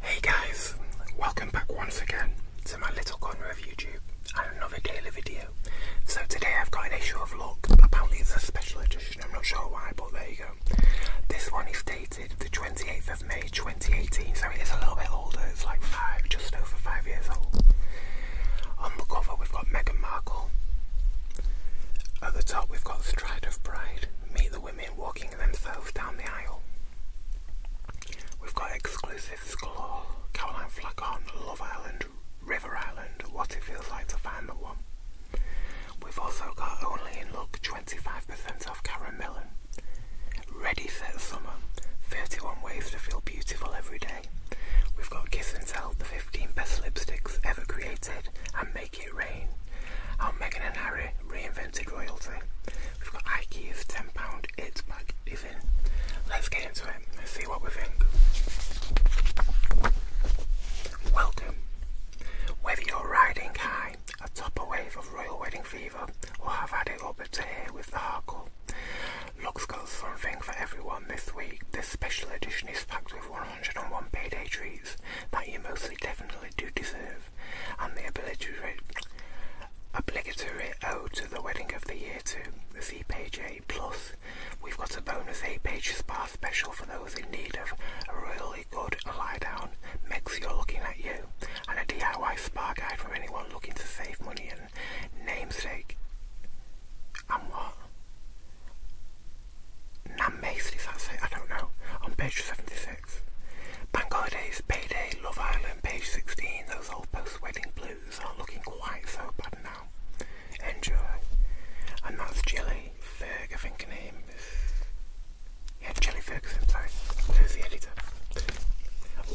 Hey guys, welcome back once again to my little corner of YouTube and another daily video. So today I've got an issue of luck. Apparently it's a special edition, I'm not sure why, but there you go. This one is dated the 28th of May 2018, so it is a little bit older, it's like five, just over five years old. On the cover, we've got Meghan Markle. At the top, we've got Stride of Pride. Meet the women walking themselves down the aisle. We've got exclusive galore. Caroline Flack on Love Island, River Island, What It Feels Like to Find the One. We've also got Only in Luck 25% off caramel. Ready Set Summer 31 Ways to Feel Beautiful Every Day. We've got Kiss and Sell, the 15 best lipsticks ever created, and Make It Rain. Our Meghan and Harry reinvented royalty. We've got IKEA's £10 It's Back even. Let's get into it and see what we think. Welcome. Whether you're riding high atop a wave of royal wedding fever or have had it up to here with the Harkle, Lux got something for everyone this week. This special edition is packed with 101 payday treats that you mostly definitely do deserve, and the obligatory, obligatory ode to the wedding of the year too. The page 8 plus. We've got a bonus 8 page spa special for those in need of a really good lie down mix you're looking at you, and a DIY spa guide for anyone looking to save money and namesake. And what? Nan Mason, say? I don't know. On page 76. Bank Holidays, Payday, Love Island, page 16. Those old post-wedding blues aren't looking quite so bad now. Enjoy. And that's Jelly Ferg, I think her name is... Yeah, sorry. Who's editor?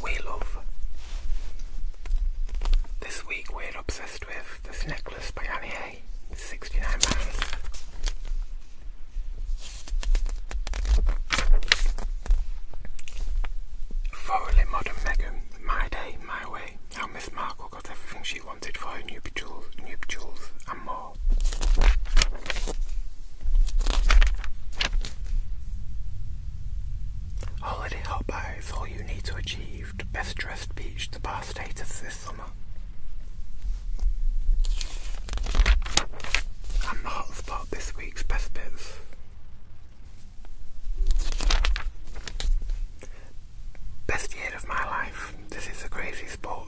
We love. This week we're obsessed with this necklace by Annie A. It's £69. Thoroughly modern Megan, my day, my way. How Miss Markle got everything she wanted for her nuptials, nuptials and more. Holiday Hot Buy is all you need to achieve Best Dressed Beach the Bar status this summer. I'm the hotspot this week's Best Bits. Best year of my life. This is a crazy sport.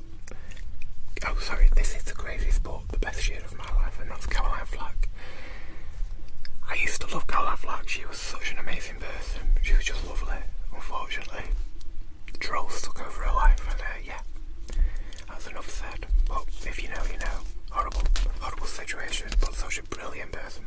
Oh, sorry, this is the crazy sport, the best year of my life, and North Carolina Flack. I used to love Caroline Flack, she was such an amazing life in She was just lovely. Unfortunately, trolls took over her life, and uh, yeah, that's enough said. But if you know, you know. Horrible, horrible situation, but such a brilliant person.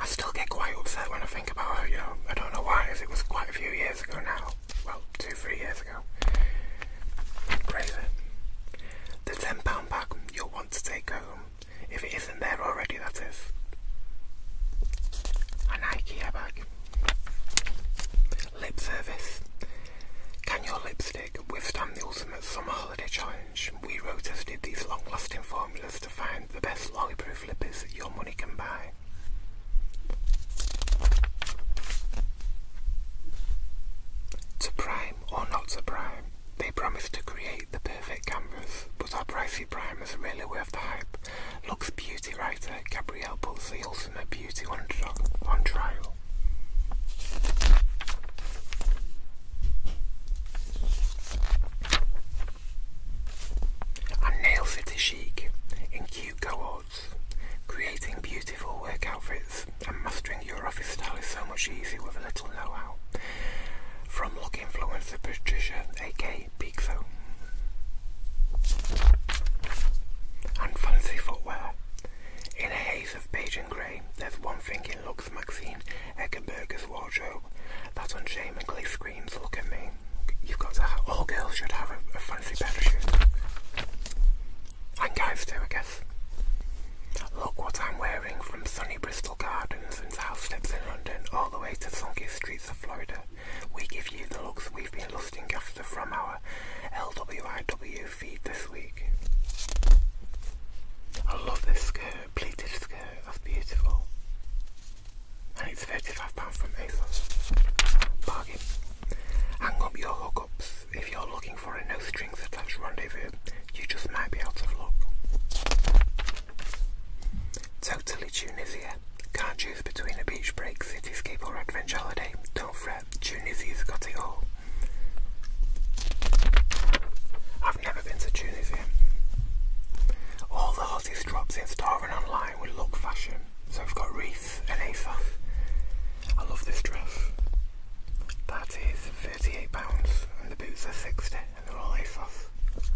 I still get quite upset when I think about her, you know. I don't know why, as it was quite a few years ago now well, two, three years ago. Crazy. The £10 bag you'll want to take home, if it isn't there already, that is. An IKEA bag. Lip service. Can your lipstick withstand the ultimate summer holiday challenge? We road tested these long lasting formulas to find the best lollyproof lippers your money can buy. To prime or not to prime, they promise to create the perfect canvas, but our pricey primers is really worth the hype. Looks beauty writer Gabrielle puts the ultimate beauty on, on trial. And nails it is chic in cute Creating beautiful work outfits and mastering your office style is so much easier with a little know-how. From look influencer Patricia, A.K. Peakzone. And fancy footwear. In a haze of beige and grey, there's one thing in Lux Maxine Eggenberger's wardrobe that unshameingly screams, look at me. You've got to all girls should have a fancy pair of shoes. And guys too, I guess. Look what I'm wearing from sunny Bristol Gardens and house steps in London all the way to sunky streets of Florida. We give you the looks we've been lusting after from our LWIW feed this week. I love this skirt, pleated skirt, that's beautiful. And it's £35 from ASOS. Bargain. Hang up your hookups if, you're looking for a no strings attached rendezvous, you just might be out of luck. Totally Tunisia. Can't choose between a beach break, city cityscape or adventure holiday. Don't fret, Tunisia's got it all. I've never been to Tunisia. All the hottest drops in store and online with look fashion. So we have got Reese is I love this dress. That is £38 and the boots are 60 and they're all ASOS.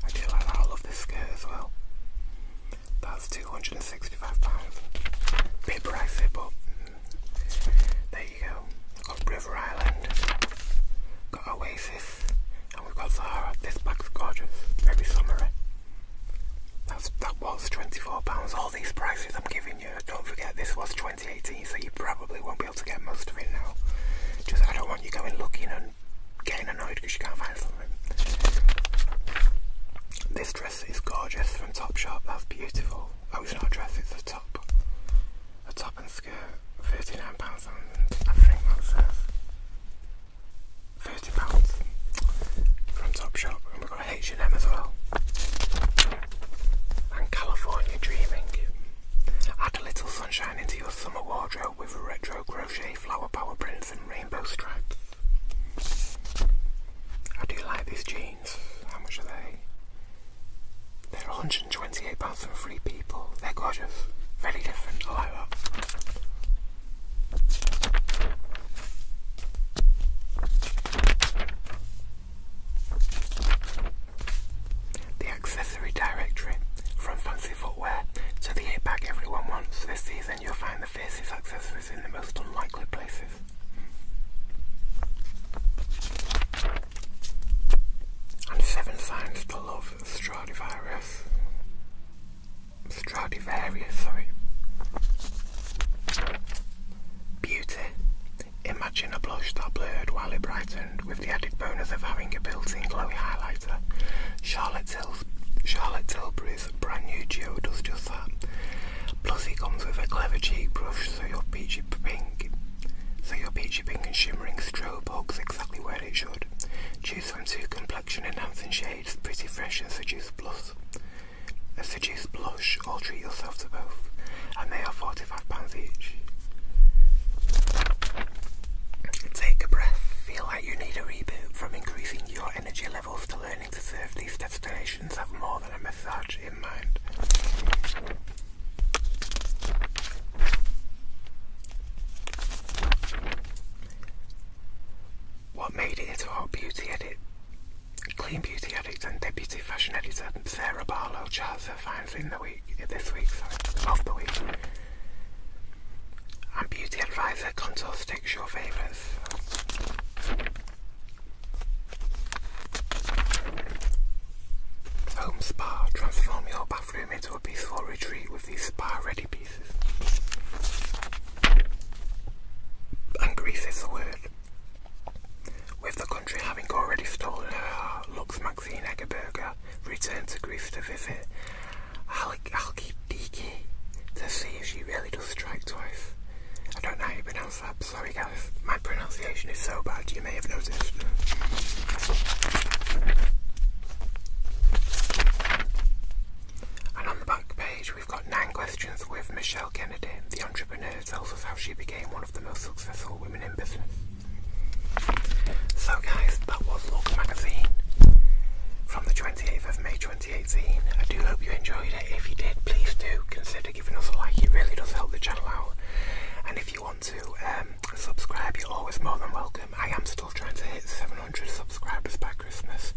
I do like that. I love this skirt as well. That's £265. Bit pricey but mm, there you go. got River Island, got Oasis and we've got Zara. This bag's gorgeous. Very summery. Eh? That's, that was £24. All these prices I'm giving you don't forget this was 2018, so you probably won't be able to get most of it now. Just I don't want you going looking and getting annoyed because you can't find something. This dress is gorgeous from Topshop. That's beautiful. Oh, it's not a dress; it's a top, a top and skirt. Thirty-nine pounds, and I think that says thirty pounds from Topshop. Oh for H&M as well. And California Dreaming. Add a little sunshine into your summer wardrobe with retro crochet flower power prints and rainbow stripes. I do like these jeans. How much are they? They're £128 from Free People. They're gorgeous. Very different. I like that. The accessory directory, from fancy footwear to the eight bag everyone wants this season, you'll find the fiercest accessories in the most unlikely places. And seven signs to love Stradivarius. Stradivarius, sorry. Beauty. Imagine a blush that blurred while it brightened with the added bonus of having a built-in glowy highlighter. Charlotte, Tills Tilbury's brand new Geo does just that. Plus it comes with a clever cheek brush so your peachy pink so your peachy pink and shimmering strobe hugs exactly where it should. Choose from two complexion enhancing shades, pretty fresh and seduce blush. Seduce Blush or treat yourself to both, and they are £45 each. Take a breath, feel like you need a reboot from increasing your energy levels to learning to serve these destinations have more than a massage in mind. What made it into our beauty edit Clean beauty addict and deputy fashion editor Sarah Barlow charts her finds in the week, this week, sorry, of the week. And beauty advisor contour sticks your favourites. Home spa, transform your bathroom into a peaceful retreat with these spa ready pieces. And grease is the word. With the country having already stolen her heart, Lux Maxine Eggeberger returned to grief to visit I'll keep Halkidiki to see if she really does strike twice. I don't know how you pronounce that, sorry guys, my pronunciation is so bad you may have noticed. And on the back page we've got nine questions with Michelle Kennedy, the entrepreneur and it tells us how she became one of the most successful women in business. So, guys, that was Look Magazine from the 28th of May 2018. I do hope you enjoyed it. If you did, please do consider giving us a like, it really does help the channel out. And if you want to um, subscribe, you're always more than welcome. I am still trying to hit 700 subscribers by Christmas.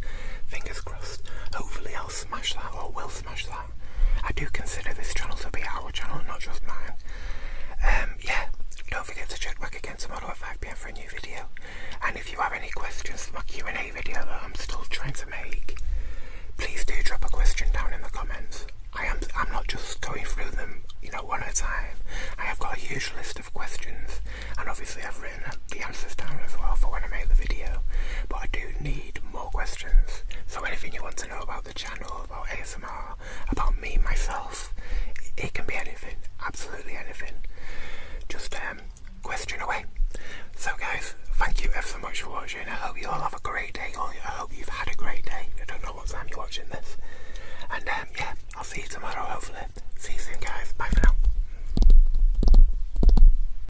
Fingers crossed. Hopefully, I'll smash that or will smash that. I do consider this channel to be our channel, not just mine. Um, yeah, don't forget to check back again tomorrow at 5pm for a new video. And if you have any questions for my Q&A video that I'm still trying to make, please do drop a question down in the comments. I am, I'm not just going through them, you know, one at a time. I have got a huge list of questions, and obviously I've written the answers down as well for when I make the video. But I do need more questions so anything you want to know about the channel, about ASMR, about me, myself, it can be anything, absolutely anything. Just um, question away. So guys, thank you ever so much for watching. I hope you all have a great day. I hope you've had a great day. I don't know what time you're watching this. And um, yeah, I'll see you tomorrow hopefully. See you soon guys. Bye for now.